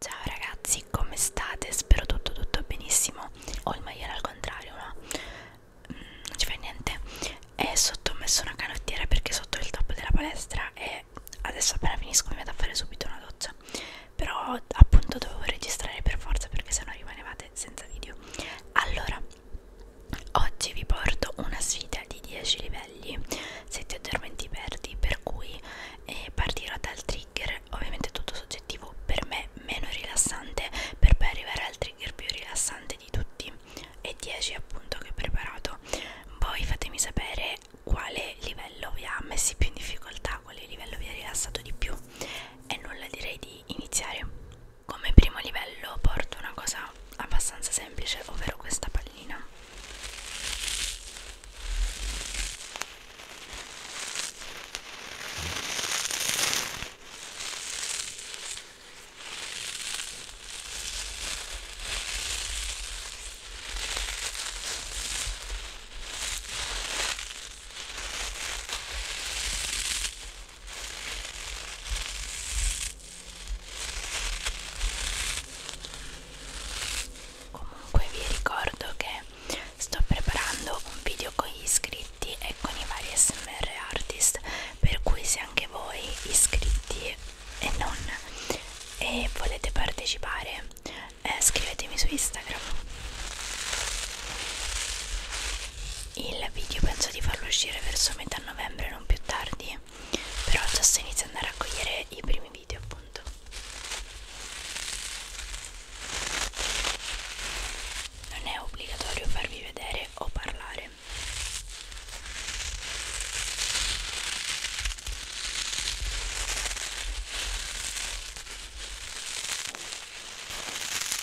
Ciao ragazzi, come state? Spero tutto tutto benissimo. Ho il maiale al contrario, ma mm, non ci fa niente. E sotto ho messo una canottiera perché sotto il top della palestra e adesso appena finisco mi vado a fare subito una doccia. Però appunto dovevo registrare per forza perché sennò rimanevate senza video. Allora, Oggi vi porto una sfida di 10 livelli, 7 addormenti perdi, per cui eh, partirò dal trigger, ovviamente tutto soggettivo, per me meno rilassante, per poi arrivare al trigger più rilassante di tutti e 10 appunto che ho preparato. Voi fatemi sapere quale livello vi ha messi più in difficoltà, quale livello vi ha rilassato di più e nulla direi di iniziare come primo livello porto una cosa abbastanza semplice ovvero questa pallina comunque vi ricordo che sto preparando un video con gli iscritti e con i vari smr artist per cui se anche voi iscritti e non e volete partecipare eh, scrivetemi su instagram il video penso di farlo uscire verso metà novembre non più tardi però già sto iniziando a raccogliere i primi video appunto non è obbligatorio farvi vedere o parlare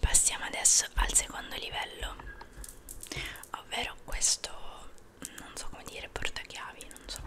passiamo adesso al secondo livello ovvero questo non so come dire portachiavi non so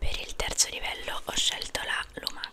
Per il terzo livello ho scelto la lumaca.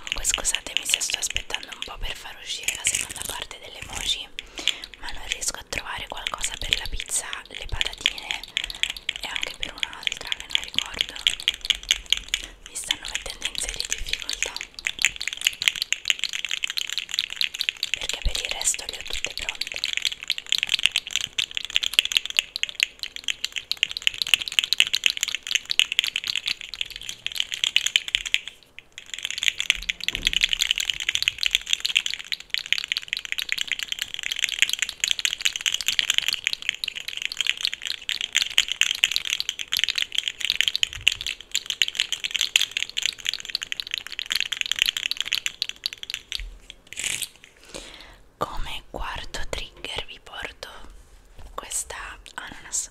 Comunque scusatemi se sto aspettando un po' per far uscire la seconda parte delle emoji ma non riesco a trovare qualcosa per la pizza, le patatine e anche per un'altra che non ricordo mi stanno mettendo in serie difficoltà perché per il resto le ho tutte pronte come quarto trigger vi porto questa ananas.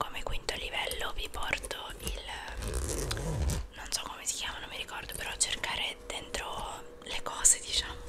Come quinto livello vi porto il non so come si chiama, non mi ricordo, però cercare dentro le cose, diciamo.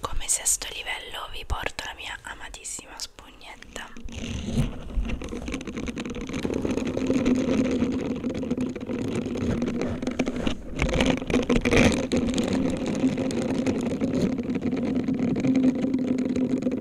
Come sesto livello vi porto la mia amatissima spugnetta.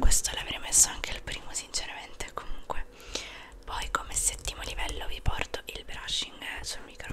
Questo l'avrei messo anche il primo sinceramente comunque. Poi come settimo livello vi porto il brushing eh, sul microfono.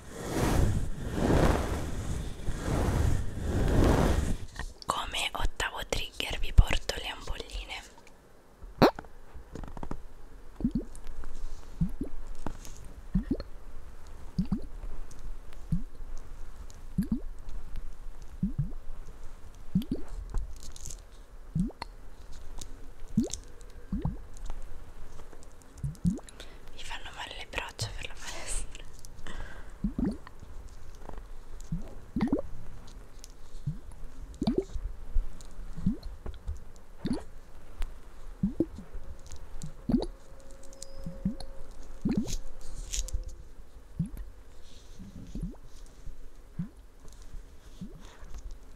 Come ottavo trigger vi porto le ampolline. Mi fanno male le braccia per la palestra.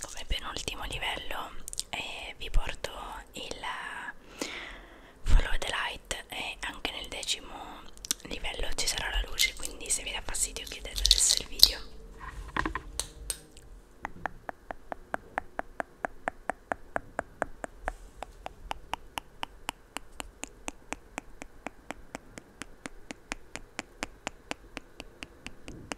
come penultimo livello eh, vi porto il follow the light e anche nel decimo livello ci sarà la luce quindi se vi dà fastidio chiudete adesso il video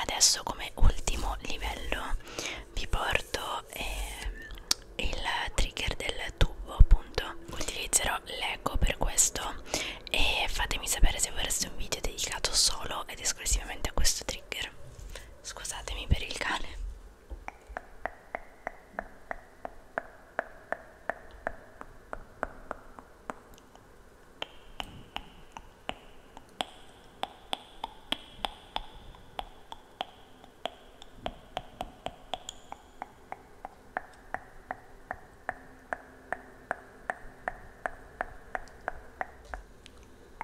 Adesso come ultimo livello vi porto eh, il trigger del tubo appunto utilizzerò l'eco per questo e fatemi sapere se vorreste un video dedicato solo ed esclusivamente a questo trigger Scusatemi per il cane.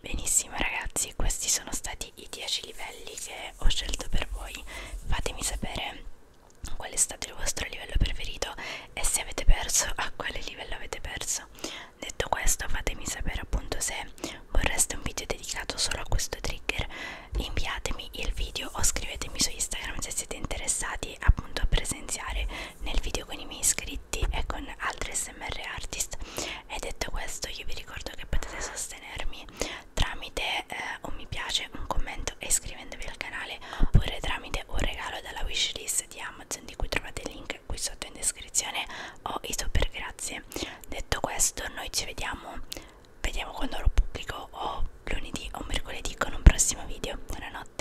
Benissimo ragazzi, questi sono stati stati i 10 livelli che ho scelto per voi fatemi sapere qual è stato il vostro livello preferito e se avete perso a quale livello avete perso detto questo fatemi sapere appunto se vorreste un video dedicato solo a questo trigger inviatemi il video o scrivetemi su instagram se siete interessati appunto a presenziare nel video con i miei iscritti e con altri smr artist e detto questo io vi ricordo che potete sostenermi tramite eh, un mi piace, un commento e iscrivendovi al canale oppure tramite un regalo dalla wishlist di Amazon di cui trovate il link qui sotto in descrizione o i super grazie detto questo noi ci vediamo vediamo quando lo pubblico o lunedì o mercoledì con un prossimo video buonanotte